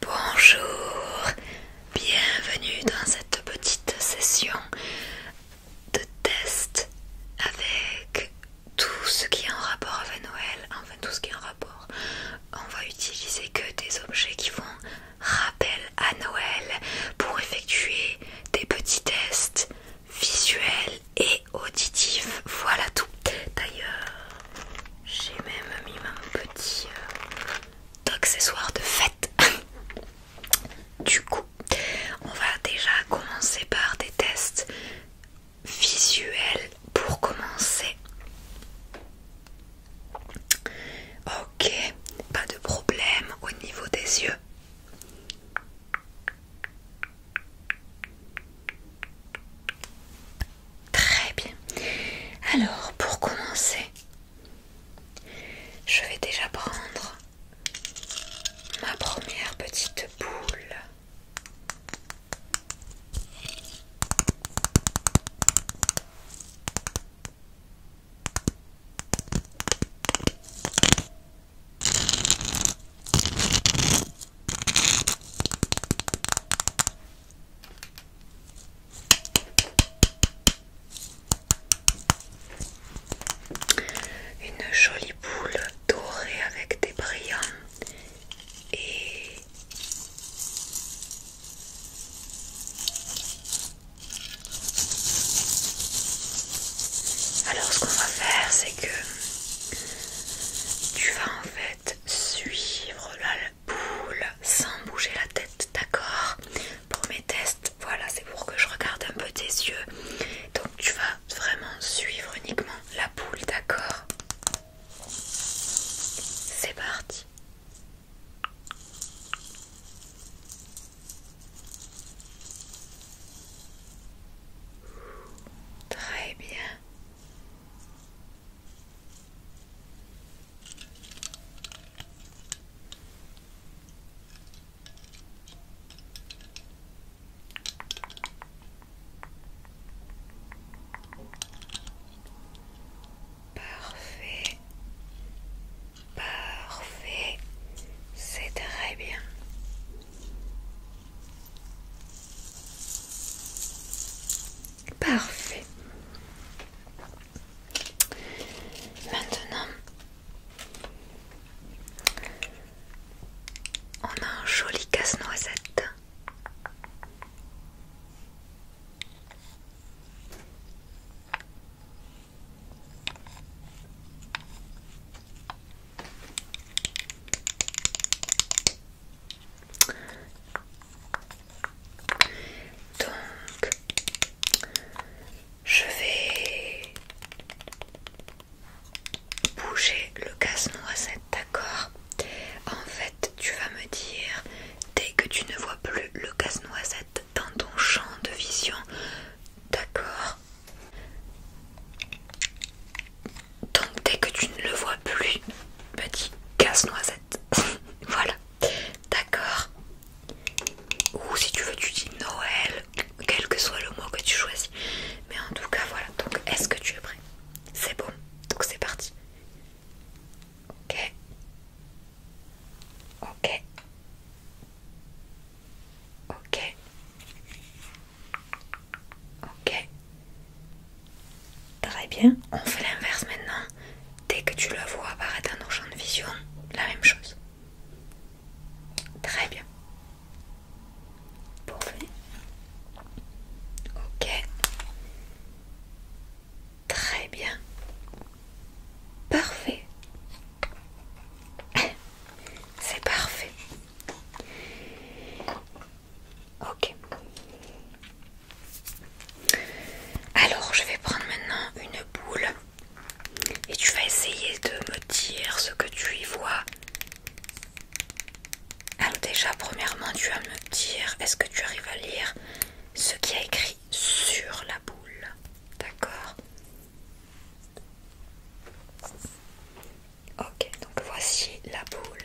Bonjour, bienvenue dans cette petite session de test avec tout ce qui est en rapport avec Noël, enfin tout ce qui est en rapport. On va utiliser que des objets qui font rappel à Noël pour effectuer des petits tests visuels et auditif. Voilà tout. D'ailleurs, j'ai même mis un petit euh, accessoire de fête. du coup, on va déjà commencer par des tests visuels pour commencer. Ok, pas de problème au niveau des yeux. Très bien. Alors, pour commencer, je vais déjà prendre ma première petite boule. Une jolie boule dorée avec des brillants et alors ce qu'on va faire c'est que tu vas en fait suivre la boule sans bouger la tête, d'accord Pour mes tests, voilà, c'est pour que je regarde un peu tes yeux. Donc tu vas vraiment suivre uniquement la boule, d'accord C'est parti. Très bien. Parfait. Parfait. C'est très bien. Parfait. Maintenant, on a un joli casse-noisette. Donc, je vais bouger le casse-noisette, d'accord En fait, tu vas me dire, dès que tu ne vois plus le casse-noisette dans ton champ de vision, d'accord donc dès que tu ne le vois plus, petit casse-noisette. voilà. D'accord. Ou si tu veux tu dis Noël, quel que soit le mot que tu choisis. Mais en tout cas voilà. Donc est-ce que tu es prêt C'est bon. Donc c'est parti. Ok. Ok. Ok. Ok. Très bien. On fait l'inverse maintenant. Dès que tu le vois apparaître dans nos champs de vision, la même chose. Très bien. Parfait. Ok. Très bien. Parfait. C'est parfait. Ok. Alors, je vais prendre maintenant une boule et tu vas essayer de me dire ce que tu y vois. Alors déjà, premièrement, tu vas me dire, est-ce que tu arrives à lire ce qui a écrit sur la boule D'accord Ok, donc voici la boule.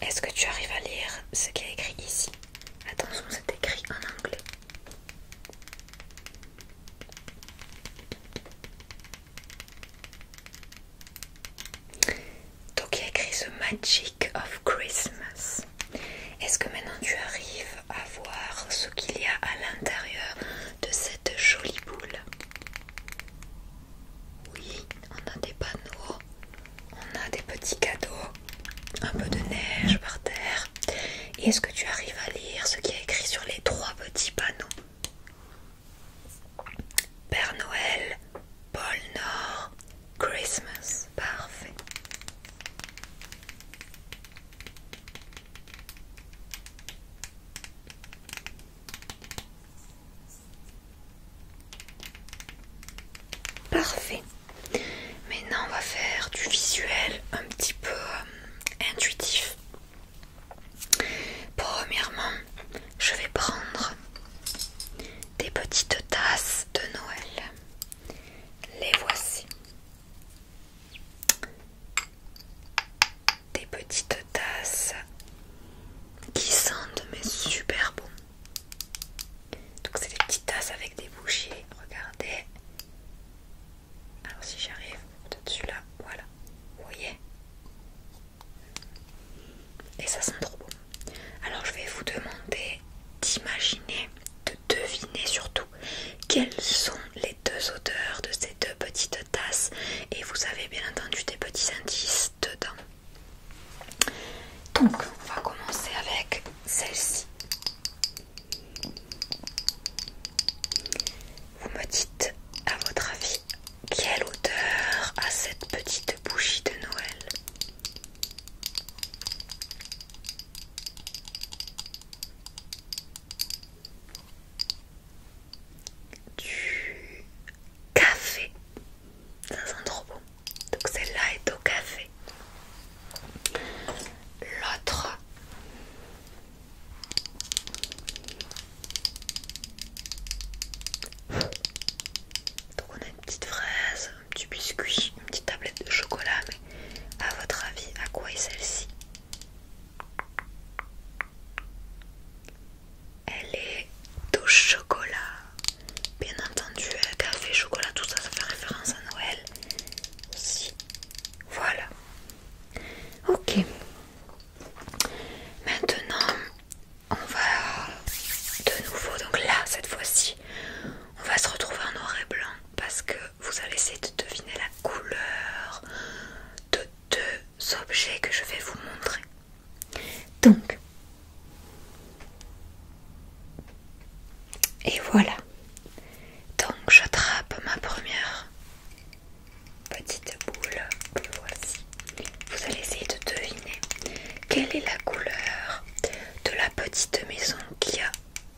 Est-ce que tu arrives à lire ce qui est écrit ici Attention, c'est écrit en anglais. Donc il y a écrit The Magic of Christmas. Est-ce que maintenant tu arrives à voir ce qu'il y a à l'intérieur de cette jolie boule. Oui, on a des panneaux, on a des petits cadeaux, un peu de neige par terre. est-ce que tu arrives à lire ce qui est a écrit sur les trois petits panneaux Père Noël, Paul Nord, Christmas. Parfait. Parfait. Maintenant, on va faire du visuel un petit peu euh, intuitif. Premièrement, je vais prendre des petites tasses de Noël. Les voici des petites tasses qui sentent mais super bon. Donc c'est des petites tasses avec des bouchées regardez. Alors si j'arrive, dessus là voilà, vous voyez Et ça sent trop bon. Alors je vais vous demander d'imaginer, Devinez surtout quelles sont les deux odeurs de ces deux petites tasses et vous avez bien entendu des petits indices dedans. Donc on va commencer avec celle-ci. Vous me dites à votre avis quelle odeur a cette petite bougie de Noël du café. Ça sent trop bon. Donc celle-là est au café. L'autre donc on a une petite fraise, un petit biscuit, une petite tablette de chocolat, a À votre avis, à quoi est celle-ci Elle est au chocolat. Bien entendu, euh, café, chocolat, tout ça, ça fait référence à Noël aussi. Voilà. Ok. Maintenant, on va de nouveau, donc là, cette fois-ci, on va se retrouver en noir et blanc parce que vous allez essayer de deviner la couleur de deux objets que je vais vous montrer. Donc, et voilà. Donc, j'attrape ma première petite boule. Voici. Vous allez essayer de deviner quelle est la couleur de la petite maison qui a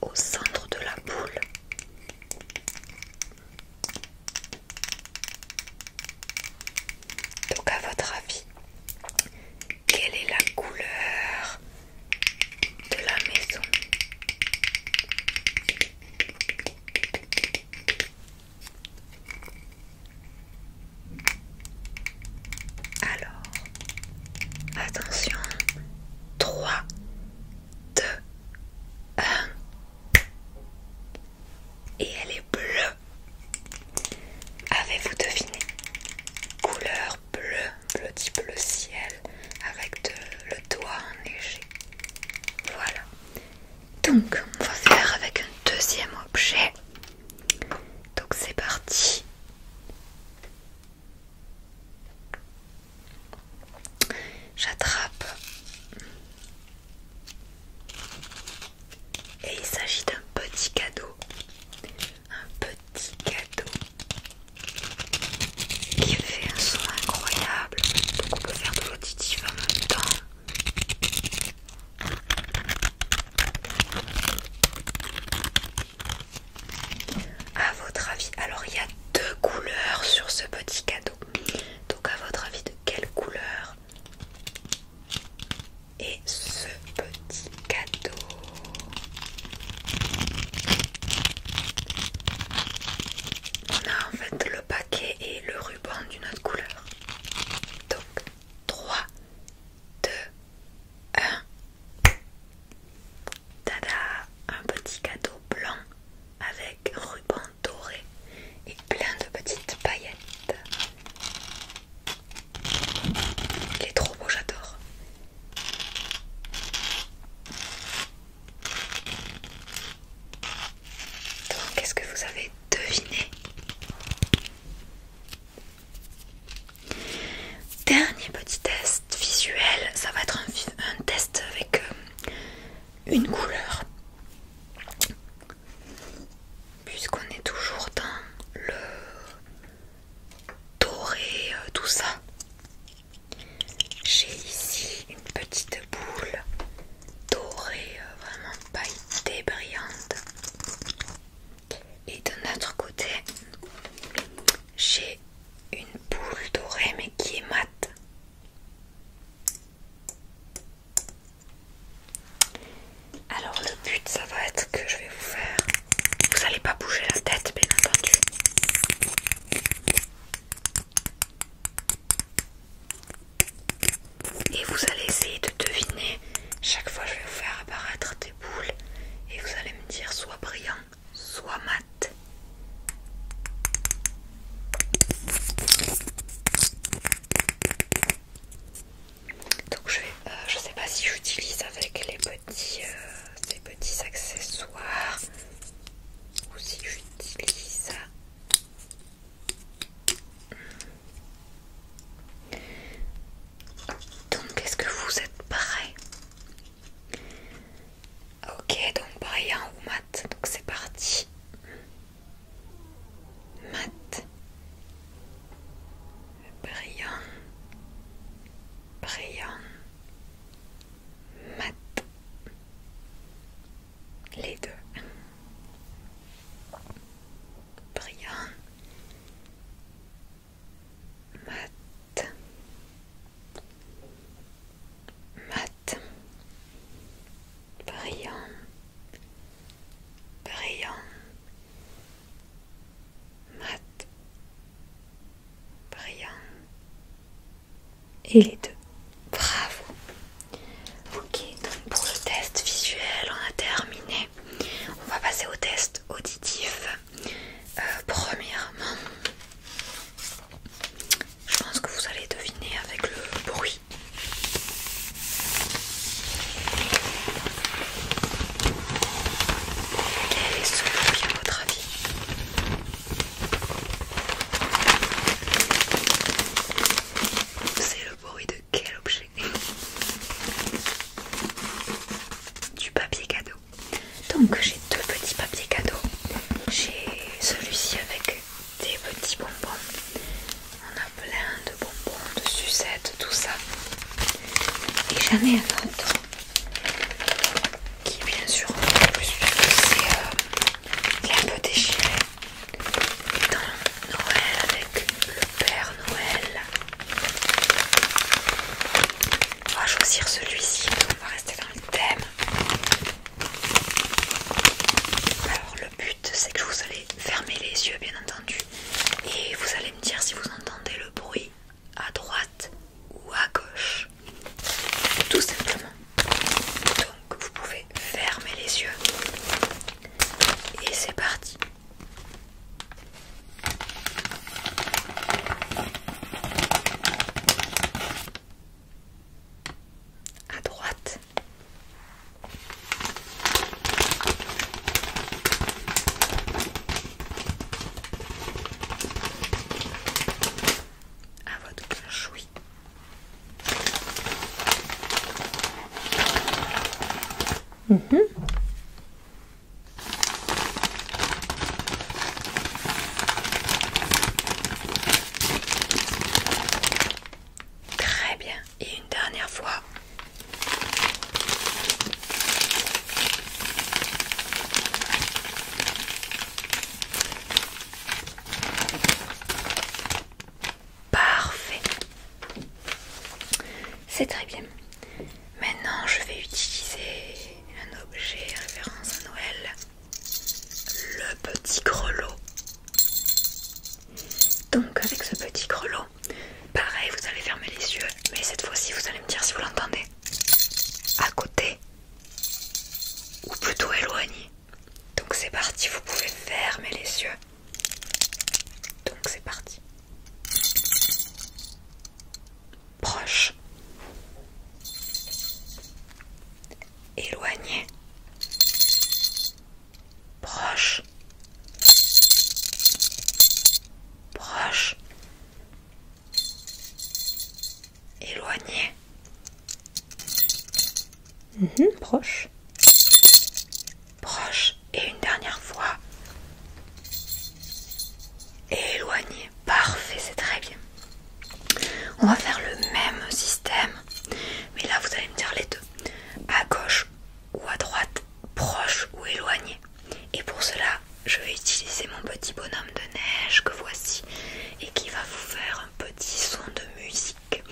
au centre de la boule. Donc à votre avis, quelle est la couleur de la maison Alors, attention, 3, 2, 1. Et elle est bleue. Avez-vous deviné Couleur bleue, bleu type bleu ciel, avec le doigt enneigé. Voilà. Donc, on va faire avec un deuxième objet. Donc, c'est parti. J'attrape. Et il s'agit d'un petit cadeau. Un petit cadeau qui fait un son incroyable. Donc on peut faire de l'auditif en même temps. À votre avis, alors il y a deux couleurs sur ce petit cadeau. Donc à votre avis, de quelle couleur est ce petit cadeau On a en fait le paquet et le ruban d'une autre couleur. Donc 3, 2, 1. Tada Un petit cadeau blanc avec ruban doré et plein de petites paillettes. Il est trop beau, j'adore. Donc, est-ce que vous avez deviné Dernier petit test visuel, ça va être un, test avec euh, une couleur. Puisqu'on est toujours dans le doré, euh, tout ça. J'ai ici une petite boule dorée, euh, vraiment pailletée, brillante. Et de notre côté, j'ai une boule dorée mais qui est mate. Alors le but ça va être que je vais vous faire... Vous n'allez pas bouger la tête bien entendu. Et vous allez essayer de deviner. Chaque fois je vais vous faire apparaître des boules et vous allez me dire soit brillant, soit mat. Donc je euh, je sais pas si j'utilise avec les petits, les euh, petits accessoires ou si j'utilise. Donc est-ce que vous êtes prêts Ok, donc brillant ou mat, donc c'est parti. Mat, brillant, brillant, mat, les deux. Brillant, mat mat brillant brillant mat brillant et les deux bravo ok donc pour le test visuel on a terminé on va passer au test auditif. Euh, premièrement, je pense que vous allez deviner avec le bruit. Quel est ce à votre avis C'est le bruit de quel objet du papier cadeau. Donc j'ai deux petits papiers cadeaux. J'ai celui-ci avec des petits bonbons. On a plein de bonbons, de sucettes, tout ça. Et j'en ai un autre qui bien sûr plus c'est euh, un peu déchiré. Dans Noël avec le Père Noël. On va choisir celui-ci, on va rester dans le thème. Alors le but c'est que vous allez fermer les yeux bien entendu et vous allez me dire si vous entendez le bruit à droite ou à gauche. Tout simplement. Donc vous pouvez fermer les yeux. Et c'est parti. À droite. À votre gauche, oui. Mmh. Très bien. Et une dernière fois. Parfait. C'est très bien. Maintenant, je vais utiliser un objet référence à Noël, le petit grelot. Donc, avec ce petit grelot, pareil, vous allez fermer les yeux, mais cette fois-ci, vous allez me dire si vous l'entendez. À côté ou plutôt éloigné. Donc, c'est parti, vous pouvez fermer les yeux. Donc, c'est parti. Proche. Éloigné. Proche. Proche. Éloigné. Mhm, proche proche et une dernière fois éloigné. Parfait, c'est très bien. On va faire le même système, mais là vous allez me dire les deux, à gauche ou à droite, proche ou éloigné. Et pour cela, je vais utiliser mon petit bonhomme de neige que voici et qui va vous faire un petit son de musique.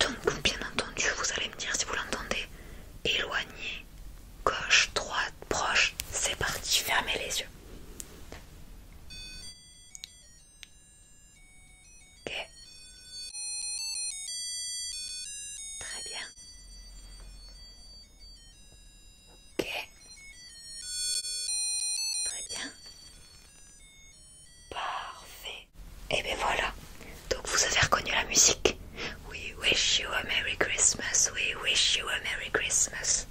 Donc bien entendu, vous allez me dire si vous l'entendez éloigné gauche, droite, proche. C'est parti, fermez les yeux. Ok. Très bien. Ok. Très bien. Parfait. Et bien voilà. Donc vous avez reconnu la musique We wish you a Merry Christmas, we wish you a Merry Christmas.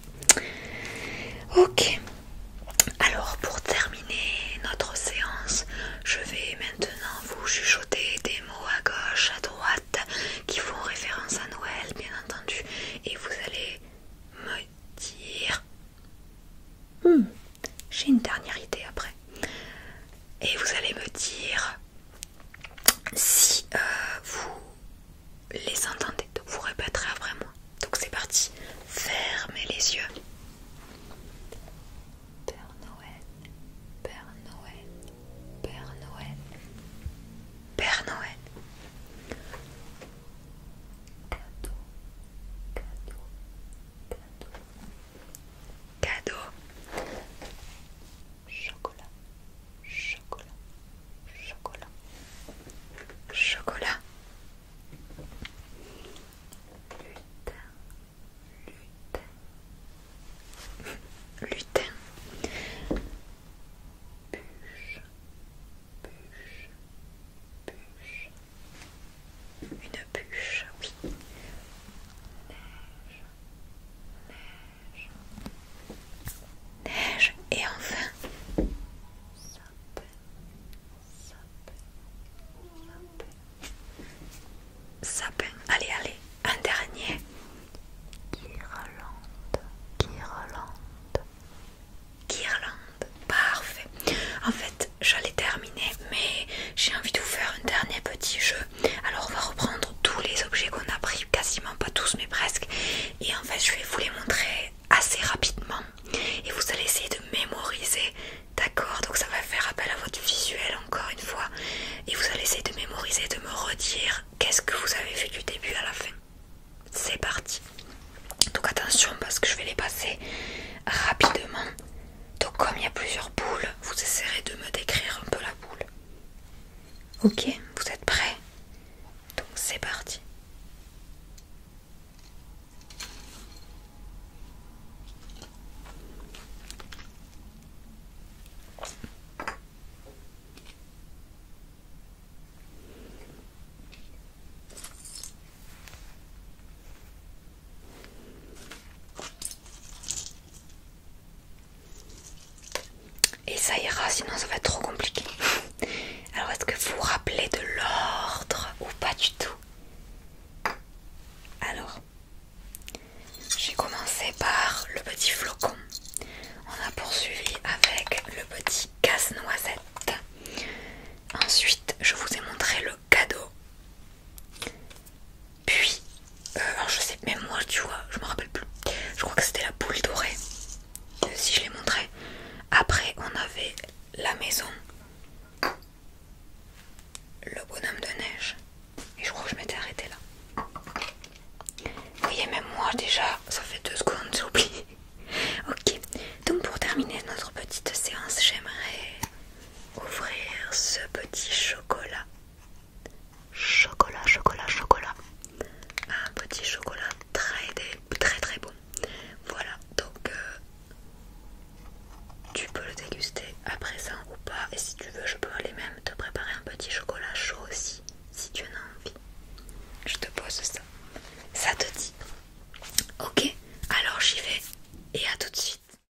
Ok, alors pour terminer notre séance, je vais maintenant vous chuchoter des mots à gauche, à droite, qui font référence à Noël, bien entendu, et vous allez me dire... Hmm, j'ai une dernière idée après. Et vous allez me dire si euh, vous les entendez, vous répéterez après moi. Donc c'est parti, fermez les yeux. Père Noël, Père Noël, Père Noël, Père Noël. Cadeau, cadeau, cadeau. Cadeau, chocolat, chocolat, chocolat, chocolat, lutin, lutin, bûche, une bûche, oui, neige, neige et enfin sapin, sapin, sapin, sapin. Allez, allez, un dernier guirlande, guirlande, guirlande. Parfait. En fait, j'allais terminer, mais j'ai envie de vous faire un dernier petit jeu alors on va reprendre tous les objets qu'on a pris, quasiment pas tous mais presque. Et en fait je vais vous les montrer assez rapidement. Et vous allez essayer de mémoriser, d'accord Donc ça va faire appel à votre visuel encore une fois. Et vous allez essayer de mémoriser, de me redire qu'est-ce que vous avez fait du début à la fin. C'est parti. Donc attention parce que je vais les passer rapidement. Donc comme il y a plusieurs boules, vous essaierez de me décrire un peu la boule. Ok, vous êtes prêts Donc c'est parti. Et ça ira, sinon ça va être trop compliqué. Alors est-ce que vous vous rappelez de l'ordre ou pas du tout Alors, j'ai commencé par le petit flocon. On a poursuivi avec le petit casse-noisette. Ensuite, je vous ai montré le cadeau. Puis, euh, je sais, même moi, tu vois, je me rappelle plus. Je crois que c'était la boule dorée, euh, si je l'ai montré. Après, on avait la maison, le bonhomme de neige, et je crois que je m'étais arrêtée là. Vous voyez, même moi, déjà, ça fait deux secondes, j'ai oublié. ok, donc pour terminer notre petite séance, j'aimerais ouvrir ce petit chocolat. Chocolat, chocolat, chocolat. Un petit chocolat très très très bon. Voilà, donc euh, tu peux le déguster à présent ou pas. Et si tu veux, je peux aller même te préparer un petit chocolat chaud aussi, si tu en as envie. Je te pose ça. Ça te dit Ok, alors j'y vais et à tout de suite.